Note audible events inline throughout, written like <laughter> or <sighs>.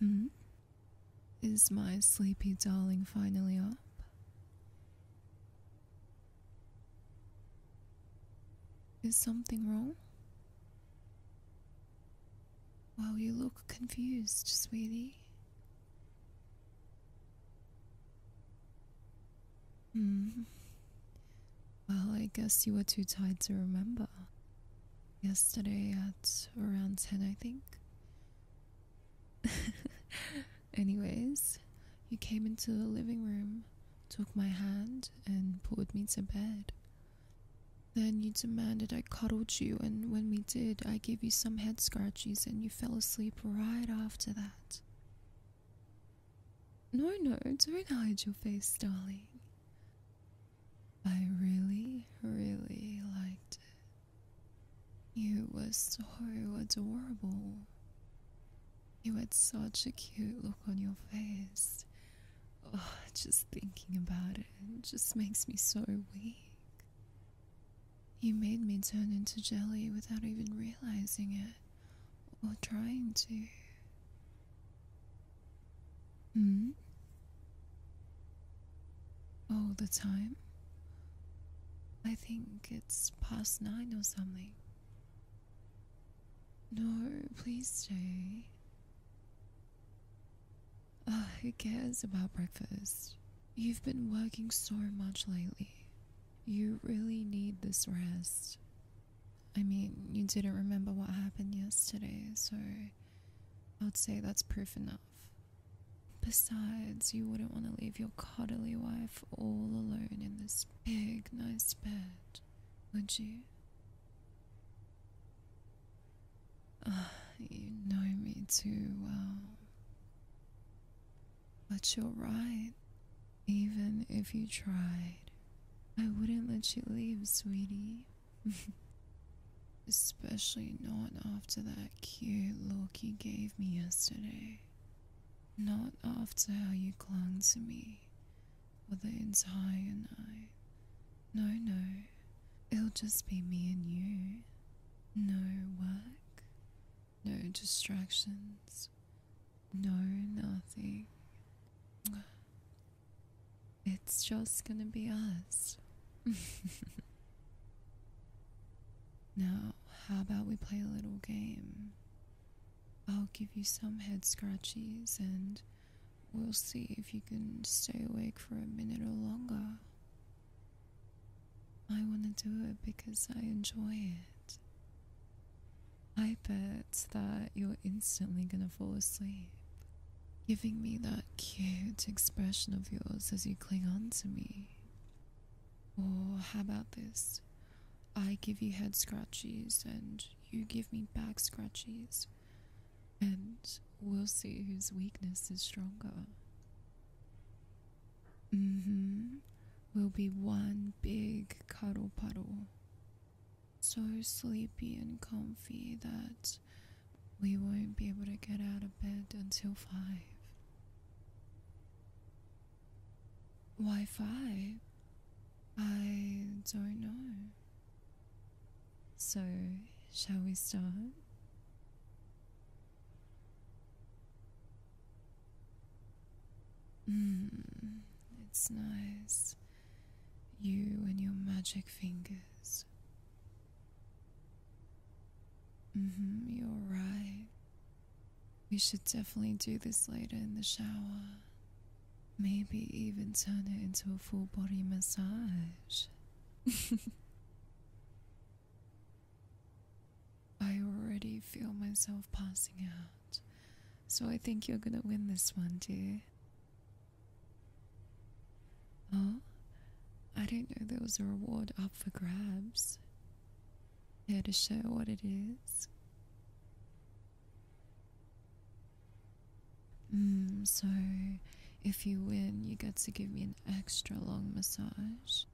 Hmm? Is my sleepy darling finally up? Is something wrong? Well, you look confused, sweetie. Hmm. Well, I guess you were too tired to remember. Yesterday at around 10, I think. <laughs> Anyways, you came into the living room took my hand and pulled me to bed. Then you demanded I cuddled you, and when we did, I gave you some head scratches and you fell asleep right after that. No, no, don't hide your face, darling. I really, really liked it. You were so adorable. You had such a cute look on your face. Oh, just thinking about it just makes me so weak. You made me turn into jelly without even realizing it or trying to. Hmm? All the time? I think it's past nine or something. No, please stay. Uh, who cares about breakfast? You've been working so much lately. You really need this rest. I mean, you didn't remember what happened yesterday, so I'd say that's proof enough. Besides, you wouldn't want to leave your cuddly wife all alone in this big, nice bed would you? Ah, you know me too well. But you're right. Even if you tried, I wouldn't let you leave, sweetie. <laughs> Especially not after that cute look you gave me yesterday. Not after how you clung to me or the entire night. No, no, it'll just be me and you. No work, no distractions, no nothing. It's just gonna be us. <laughs> now, how about we play a little game? I'll give you some head scratches and we'll see if you can stay awake for a minute or longer. I want to do it because I enjoy it. I bet that you're instantly gonna fall asleep, giving me that cute expression of yours as you cling on to me. Or how about this? I give you head scratches, and you give me back scratches, and we'll see whose weakness is stronger. Mm hmm. We'll be one big cuddle puddle. So sleepy and comfy that we won't be able to get out of bed until five. Why five? I don't know. So, shall we start? Hmm, it's nice. You and your magic fingers. Mm-hmm, you're right. We should definitely do this later in the shower. Maybe even turn it into a full body massage. <laughs> I already feel myself passing out, so I think you're gonna win this one, dear. Oh, I didn't know there was a reward up for grabs. Here to show what it is. Mm, so, if you win, you get to give me an extra long massage.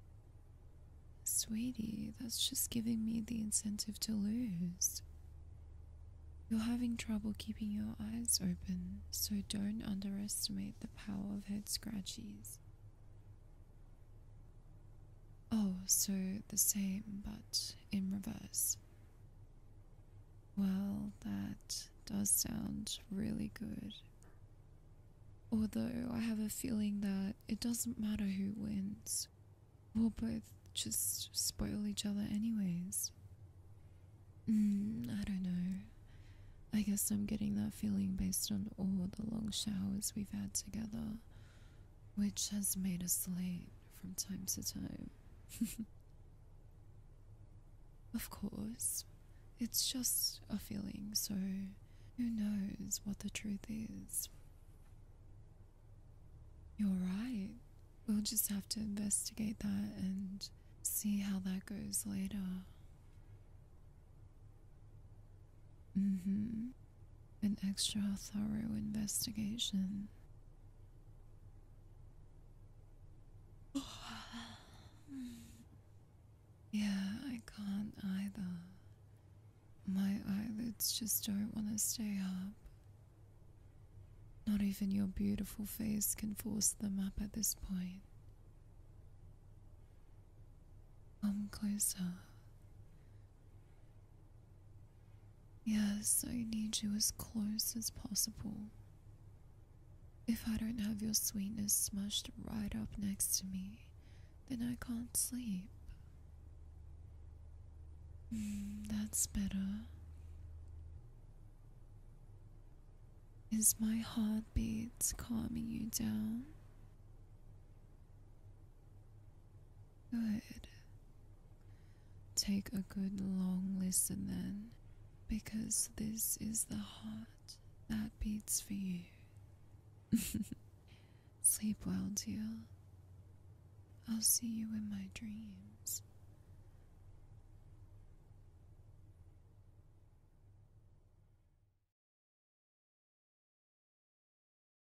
Sweetie, that's just giving me the incentive to lose. You're having trouble keeping your eyes open, so don't underestimate the power of head scratchies. Oh, so the same, but in reverse. Well, that does sound really good. Although I have a feeling that it doesn't matter who wins, we'll both just spoil each other, anyways. Hmm, I don't know. I guess I'm getting that feeling based on all the long showers we've had together which has made us late from time to time. <laughs> of course, it's just a feeling, so who knows what the truth is? You're right. We'll just have to investigate that and see how that goes later. hmm an extra thorough investigation. <sighs> yeah, I can't either. My eyelids just don't want to stay up. Not even your beautiful face can force them up at this point. Come closer. Yes, I need you as close as possible. If I don't have your sweetness smushed right up next to me, then I can't sleep. Hmm, that's better. Is my heartbeat calming you down? Good. Take a good long listen then, because this is the heart that beats for you. <laughs> Sleep well, dear. I'll see you in my dreams.